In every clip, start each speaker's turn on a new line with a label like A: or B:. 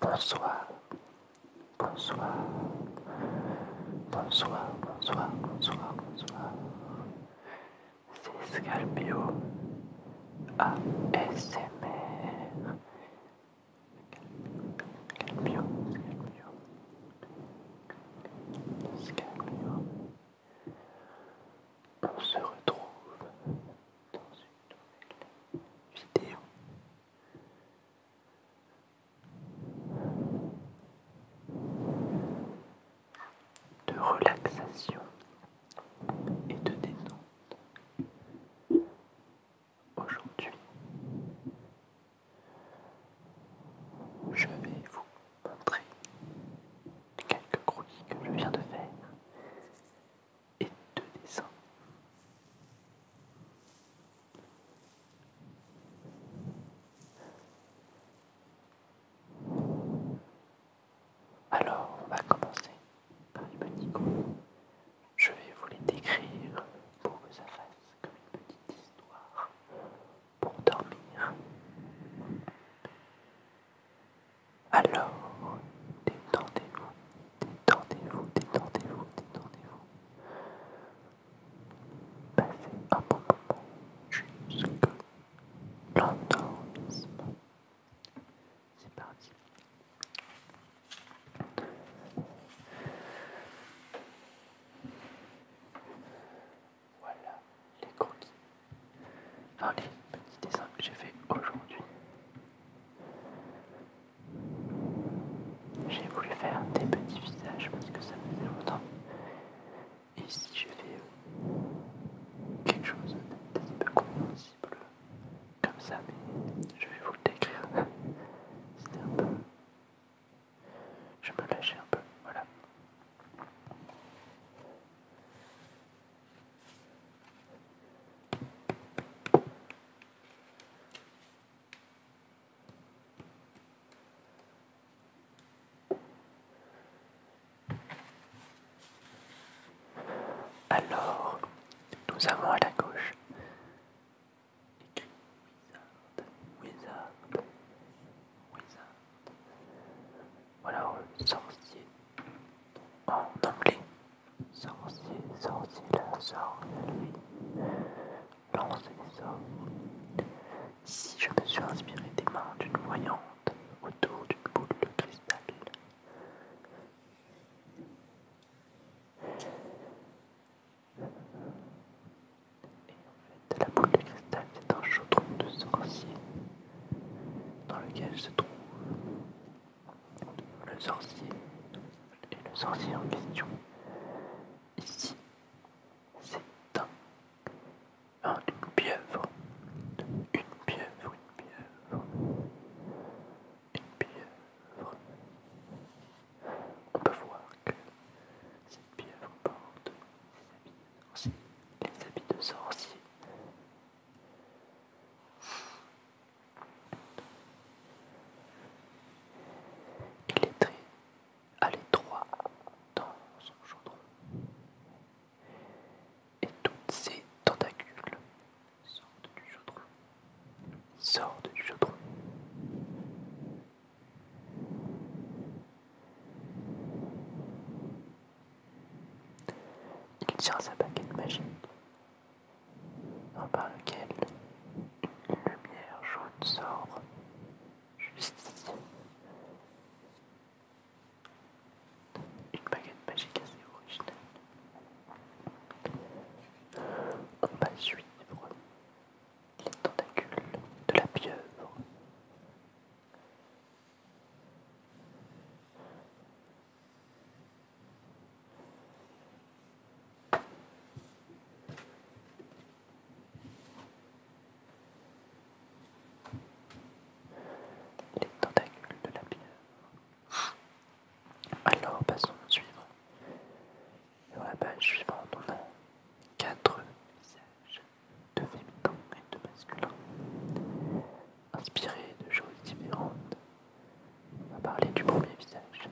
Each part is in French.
A: Bonsoir, bonsoir, bonsoir, bonsoir, bonsoir, bonsoir. C'est Scalpio ASMR. Scalpio, Scalpio, Scalpio. On se retrouve dans une vidéo. De relaxation et de détente. Aujourd'hui, je vais vous montrer quelques croquis que je viens de faire et deux dessins. Alors, on va commencer par les petits coups. Je vais vous les décrire pour que ça fasse comme une petite histoire pour dormir. Alors, détendez-vous, détendez-vous, détendez-vous, détendez-vous. Passez un bon moment jusque l'endormissement. C'est parti. Voilà les croquis. Enfin les petits dessins que j'ai fait aujourd'hui. J'ai voulu faire des petits visages parce que ça faisait longtemps. Et si je fais euh, quelque chose d'un petit peu compréhensible comme ça, mais je vais vous le décrire. C'était un peu. Je me lâchais un peu, voilà. Alors, nous avons à la gauche écrit Wizard, Wizard, Wizard. Voilà, sorcier en anglais. Sorcier, sorcier, la sort Lancez les Si je me suis inspiré des mains d'une voyante autour d'une boule de cristal, et en fait, la boule de cristal c'est un chaudron de sorcier dans lequel se trouve le sorcier et le sorcier en question. Ici, c'est un, une pieuvre, une pieuvre, une pieuvre, une pieuvre. On peut voir que cette pieuvre porte ses les habits de sorcier il est très à l'étroit dans son chaudron. Et toutes ses tentacules sortent du chaudron. Sortent du chaudron. Il tire sa baguette magique, par laquelle une lumière jaune sort juste ici. Une baguette magique assez originale. On va suivre les tentacules de la pieuvre les tentacules de la pierre. Alors passons au suivant. Dans la page suivante, on a quatre visages de féminin et de masculins, inspirés de choses différentes on va parler du premier visage. C'est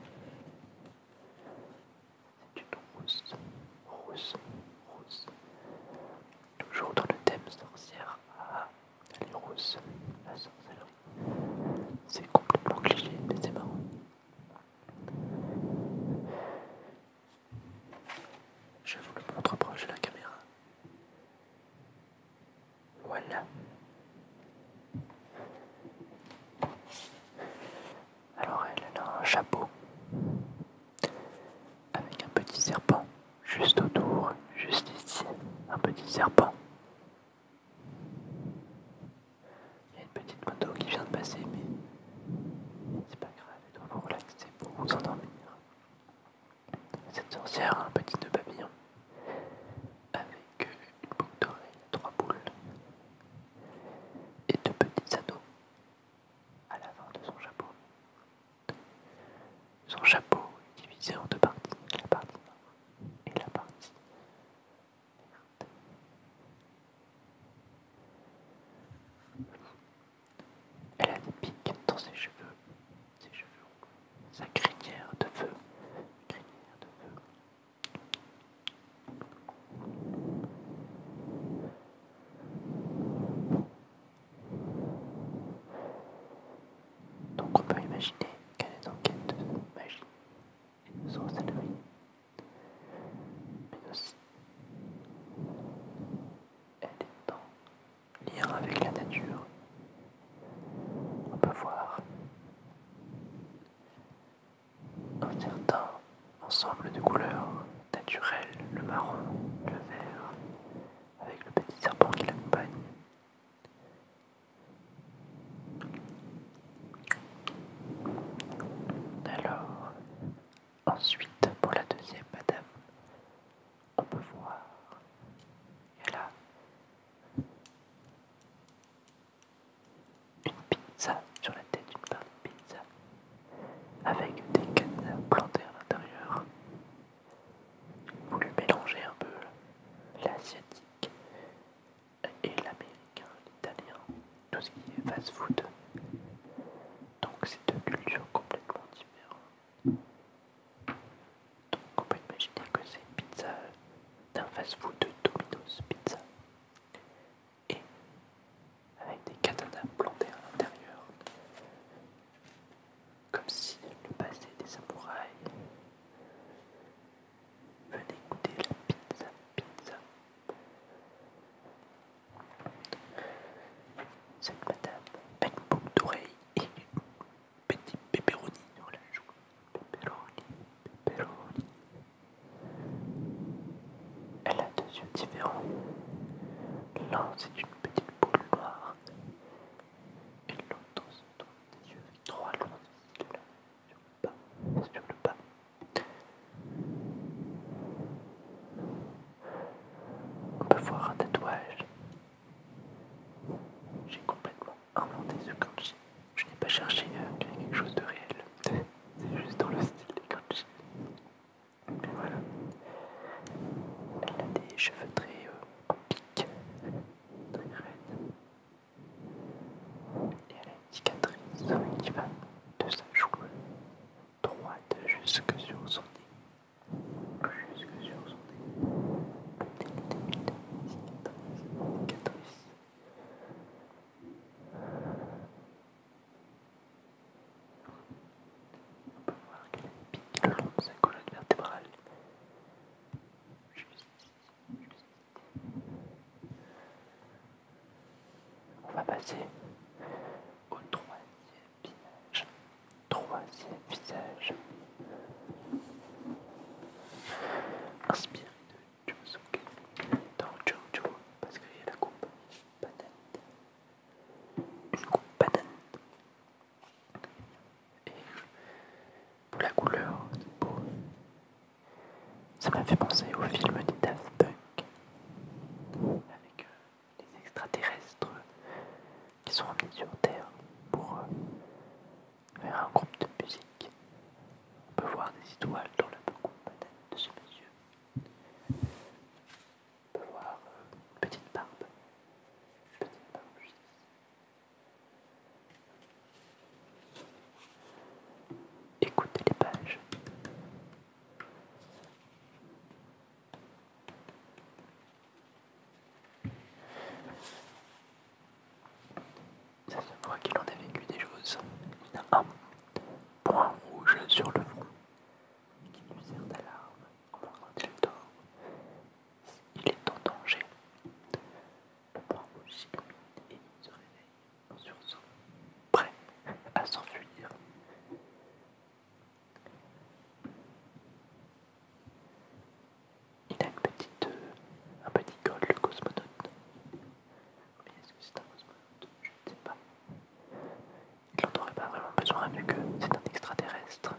A: du tout rousse, rousse, rousse. Toujours dans le thème sorcière. Ah, est rousse, la sorcellerie. C'est complètement cliché, mais c'est marrant. Je vous le montre proche de la caméra. Voilà. Alors elle a un chapeau avec un petit serpent juste autour, juste ici, un petit serpent. Il y a une petite moto qui vient de passer, mais c'est pas grave, il doit vous relaxer pour vous endormir. Cette sorcière a un petit nœud papillon avec une boucle d'oreille, trois boules et deux petits anneaux à l'avant de son chapeau. Son chapeau est divisé en deux parties, la partie noire et la partie verte. Elle a des pics dans ses cheveux ses cheveux sa crinière de feu, crinière de feu. Donc on peut imaginer qu'elle est quête de magie et de sorcellerie, mais aussi elle est dans lien avec la nature. On peut voir un certain ensemble de couleurs naturelles, le marron, le vert, avec le petit serpent qui l'accompagne. Alors, ensuite pour la deuxième madame, on peut voir. a là une pizza sur la tête d'une pâte de pizza avec des cannes plantées à l'intérieur. Vous le mélangez un peu l'asiatique et l'américain, l'italien, tout ce qui est fast food. Donc c'est deux cultures complètement différentes. Donc on peut imaginer que c'est une pizza d'un fast-food de Domino's Pizza et avec des katanas plantés à l'intérieur, comme si le passé des samouraïs venait goûter la pizza pizza. Cette madame a une d'oreille et petit pepperoni sur la joue. Pepperoni, pepperoni. Elle a deux yeux différents. L'un c'est une petite boule noire et l'autre c'est des yeux avec trois longs sur le bas. Sur le bas. On peut voir un tatouage j'ai complètement inventé ce kanji. Je n'ai pas cherché créer quelque chose de réel. C'est juste dans le style des kanji. voilà. Elle a des cheveux très piques, euh, très raides. Et elle a une cicatrice qui va de sa joue droite jusque sur son nez jusque sur son On peut voir qu'elle le long de sa colonne vertébrale. On va passer au troisième pillage troisième visage. Inspiré de Josuke dans Jojo parce qu'il y a la coupe banane. Une coupe banane. Et pour la couleur, c'est beau. Ça m'a fait penser au film des Daft Punk avec euh, les extraterrestres qui sont amenés sur Terre pour euh, faire un groupe de musique. On peut voir des étoiles dans la banane de ce monsieur. On peut voir euh, une petite barbe. Une petite barbe, ici. Écoutez les pages. Ça se voit qu'il en a vécu des choses. Il a un point rouge sur le front qui lui sert d'alarme va quand il dort. Il est en danger. Le point rouge s'illumine et il se réveille en sursaut, prêt à s'enfuir. Il a euh, un petit col, le cosmonaute. Mais est-ce que c'est un cosmonaute Je ne sais pas. Il n'en aurait pas vraiment besoin vu que c'est un extraterrestre.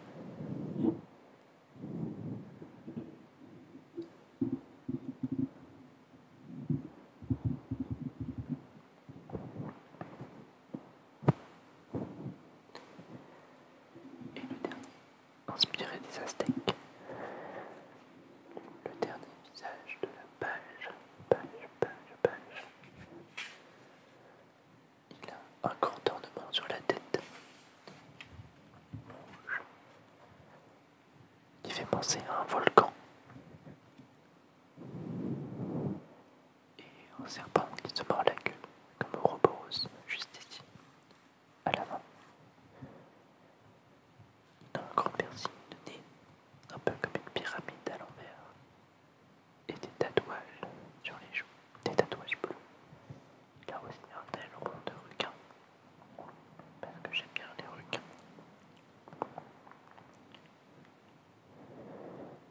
A: Et le dernier, inspiré des Aztèques. Le dernier visage de la page, page, page, page. Il a un grand ornement sur la tête, qui fait penser à un volcan. Et un serpent qui se mord la queue comme repose, juste ici, à la main. Il un grand piercing de nez, un peu comme une pyramide à l'envers, et des tatouages sur les joues, des tatouages bleus. Il a aussi un aileron de requin, parce que j'aime bien les requins.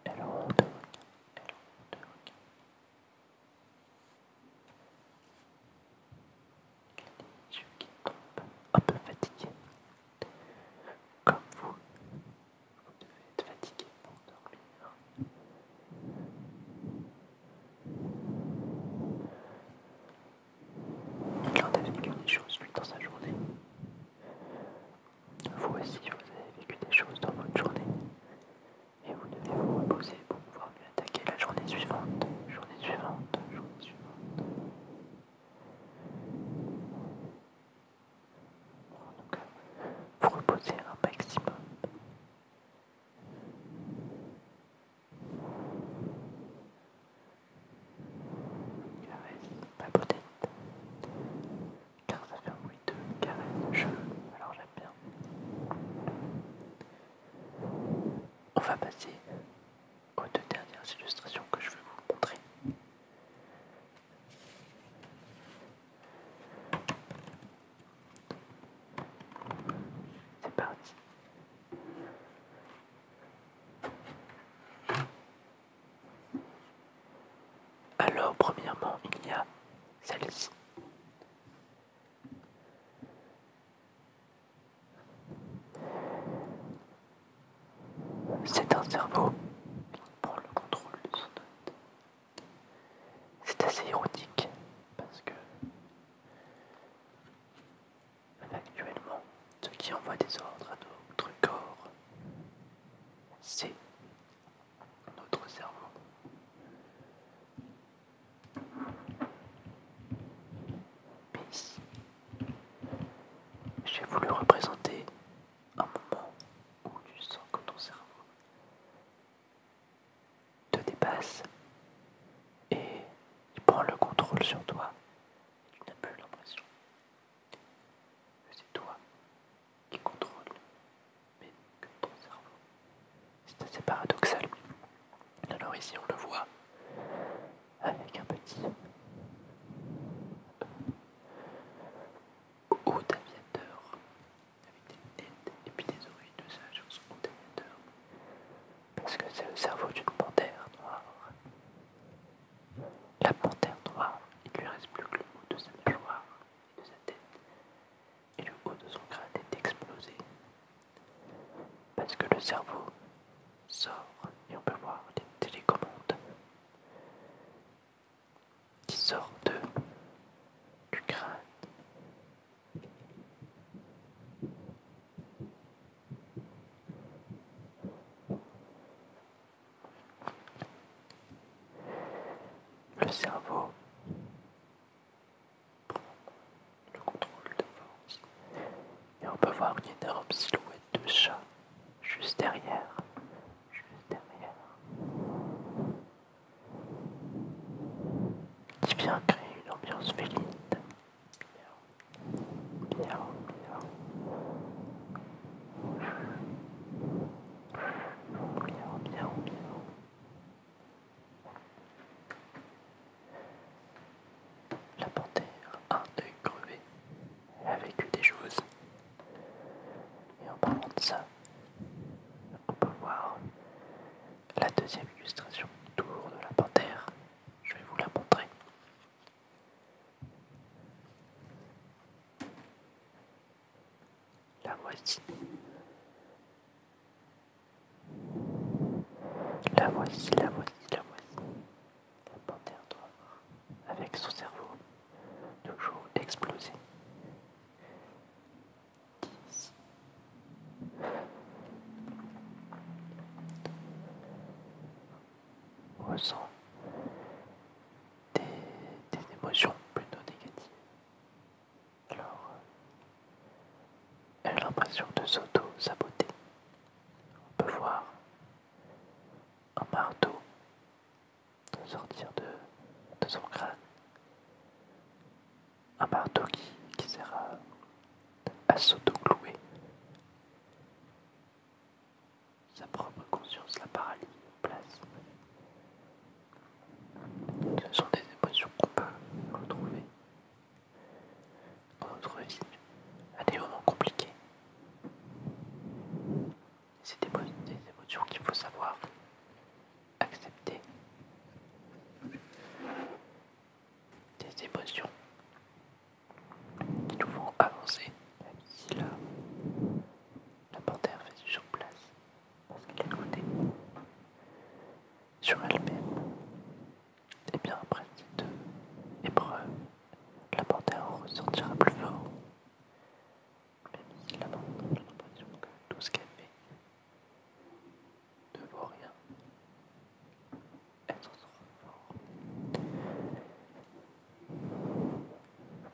A: Aileron de requin, de je yeux un peu fatigué, Comme vous, vous devez être fatigué pour dormir. Il a vécu des choses lui dans sa journée. Vous aussi, vous avez vécu des choses dans votre journée et vous devez vous reposer pour pouvoir vous attaquer la journée suivante, journée suivante, journée suivante. cas, vous reposez un maximum. ma car ça fait un bruit de carré de cheveux, alors j'aime bien. On va passer aux deux dernières illustrations que je vais vous montrer. C'est parti. Alors, premièrement, il y a celle-ci. C'est un cerveau qui prend le contrôle de son C'est assez érotique parce que actuellement, ce qui envoie des ordres à notre corps, c'est notre cerveau. ici J'ai voulu représenter un moment où tu sens que ton cerveau te dépasse et il prend le contrôle sur toi. Tu n'as plus l'impression que c'est toi qui contrôle mais que ton cerveau. C'est assez paradoxal. Alors ici on le voit avec un petit haut d'aviateur, avec des têtes et puis des oreilles de sage en son parce que c'est le cerveau d'une panthère noire. La panthère noire, il lui reste plus que le haut de sa mâchoire et de sa tête et le haut de son crâne est explosé. Parce que le cerveau sort, et on peut voir des télécommandes qui sortent du crâne. Le cerveau le contrôle de force. Et on peut voir une énorme silhouette de chat juste derrière. Juste derrière. Qui vient créer une ambiance féline. Bien. Bien, bien. Bien, bien, bien. La panthère, un deuil crevé, a vécu des choses. Et en parlant de ça, on peut voir la deuxième illustration, autour de la panthère. Je vais vous la montrer la voici. La voici, la voici, la voici. La panthère noire, avec son cerveau toujours explosé. au Ressent des émotions plutôt négatives. Alors, elle a l'impression de s'auto-saboter. On peut voir un marteau sortir de, son crâne. Un marteau qui, sert à, s'auto-clouer. Sa propre conscience la paralyse, place. Ce sont des émotions qu'on peut retrouver dans notre vie à des moments compliqués. C'est des, émotions qu'il faut savoir accepter. Des émotions qui nous font avancer, même si la, la panthère fait sur place. Parce qu'elle côté sur elle-même. Et bien après cette euh, épreuve, la panthère ressortira plus fort. Même si la maintenant j'ai l'impression que tout ce qu'elle fait ne vaut rien. Elle s'en fort.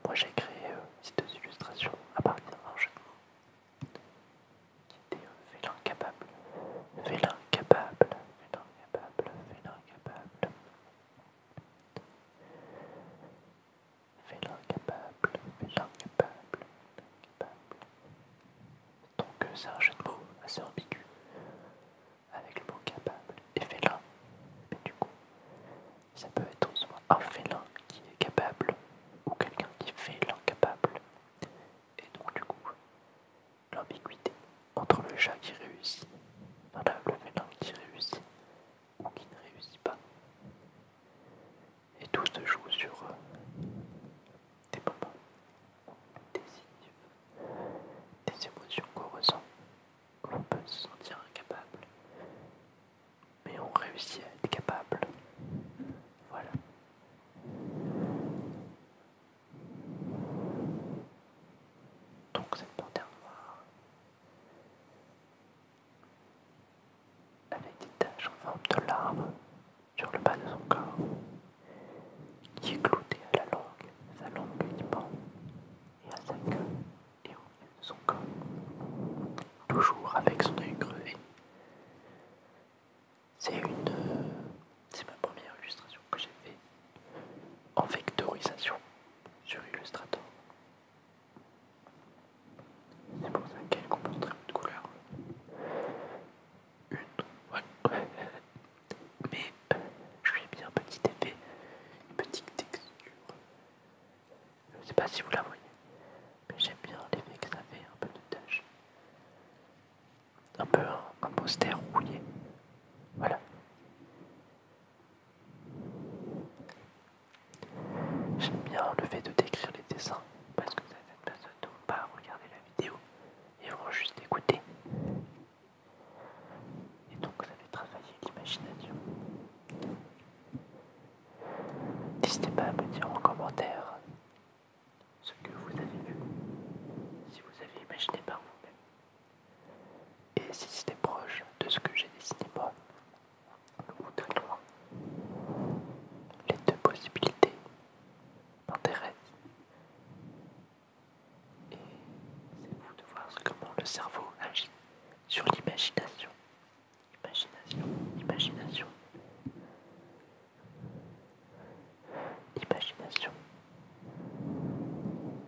A: Moi j'ai créé ces deux illustrations à partir d'un jeu Fais l'incapable, fais l'incapable, fais l'incapable, fais l'incapable. Fais l'incapable, fais l'incapable, l'incapable. Donc euh, c'est un jeu de mots assez ambigu avec le mot capable et vélin, Mais du coup, ça peut être soit un félin qui est capable ou quelqu'un qui fait l'incapable. Et donc du coup, l'ambiguïté entre le chat qui réussit, le félin qui réussit ou qui ne réussit pas. Et tout se joue sur des euh, moments signes, des émotions qu'on ressent. qu'on peut se sentir incapable mais on réussit à être capable. Voilà. Donc cette panthère noire avec des taches en forme de larmes sur le bas de son corps, qui est cloué à la langue, sa langue du et à sa queue et son corps, toujours avec son œil crevé. C'est une. C'est ma première illustration que j'ai faite en vectorisation sur Illustrator. C'est pour ça qu'elle comporte très de couleurs. Une, ouais. Mais euh, je lui ai mis un petit effet, une petite texture je sais pas si vous la voyez, mais j'aime bien l'effet que ça fait, un peu de tâche. Un peu un, hein, poster rouillé. Voilà. J'aime bien le fait de décrire les dessins parce que certaines personnes ne vont pas regarder la vidéo et vont juste écouter. Et donc ça fait travailler l'imagination. N'hésitez pas à me dire en commentaire ce que vous avez vu, si vous avez imaginé par vous-même, et si c'était proche de ce que j'ai dessiné moi, ou très loin. Les deux possibilités m'intéressent, et c'est vous de voir comment le cerveau agit sur l'imagination. Imagination, imagination. Imagination.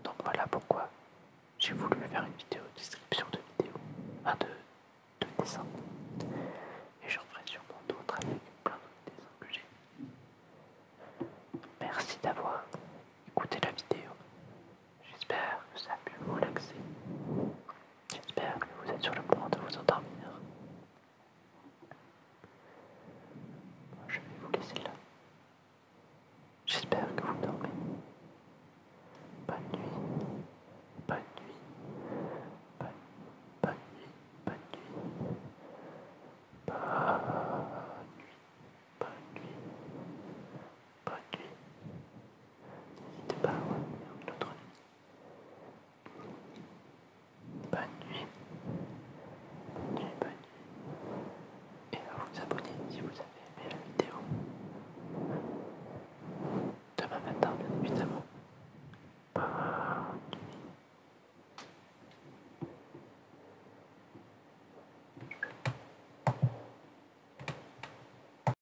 A: Donc voilà pourquoi j'ai voulu faire une vidéo description de vidéo, enfin de, dessin. Et j'en ferai sûrement d'autres avec plein d'autres dessins que j'ai. Merci d'avoir écouté la vidéo. J'espère que ça a pu vous relaxer. J'espère que vous êtes sur le point de vous endormir. Je vais vous laisser là. J'espère que vous dormez. Bonne nuit. Bonne nuit. Bonne, bonne nuit. Bonne nuit. Bonne nuit. Bonne nuit. Bonne nuit. N'hésitez pas à revenir une nuit. Bonne nuit. Bonne nuit, bonne nuit. Et à vous abonner si vous avez aimé la vidéo. Demain matin, bien évidemment. Bonne nuit.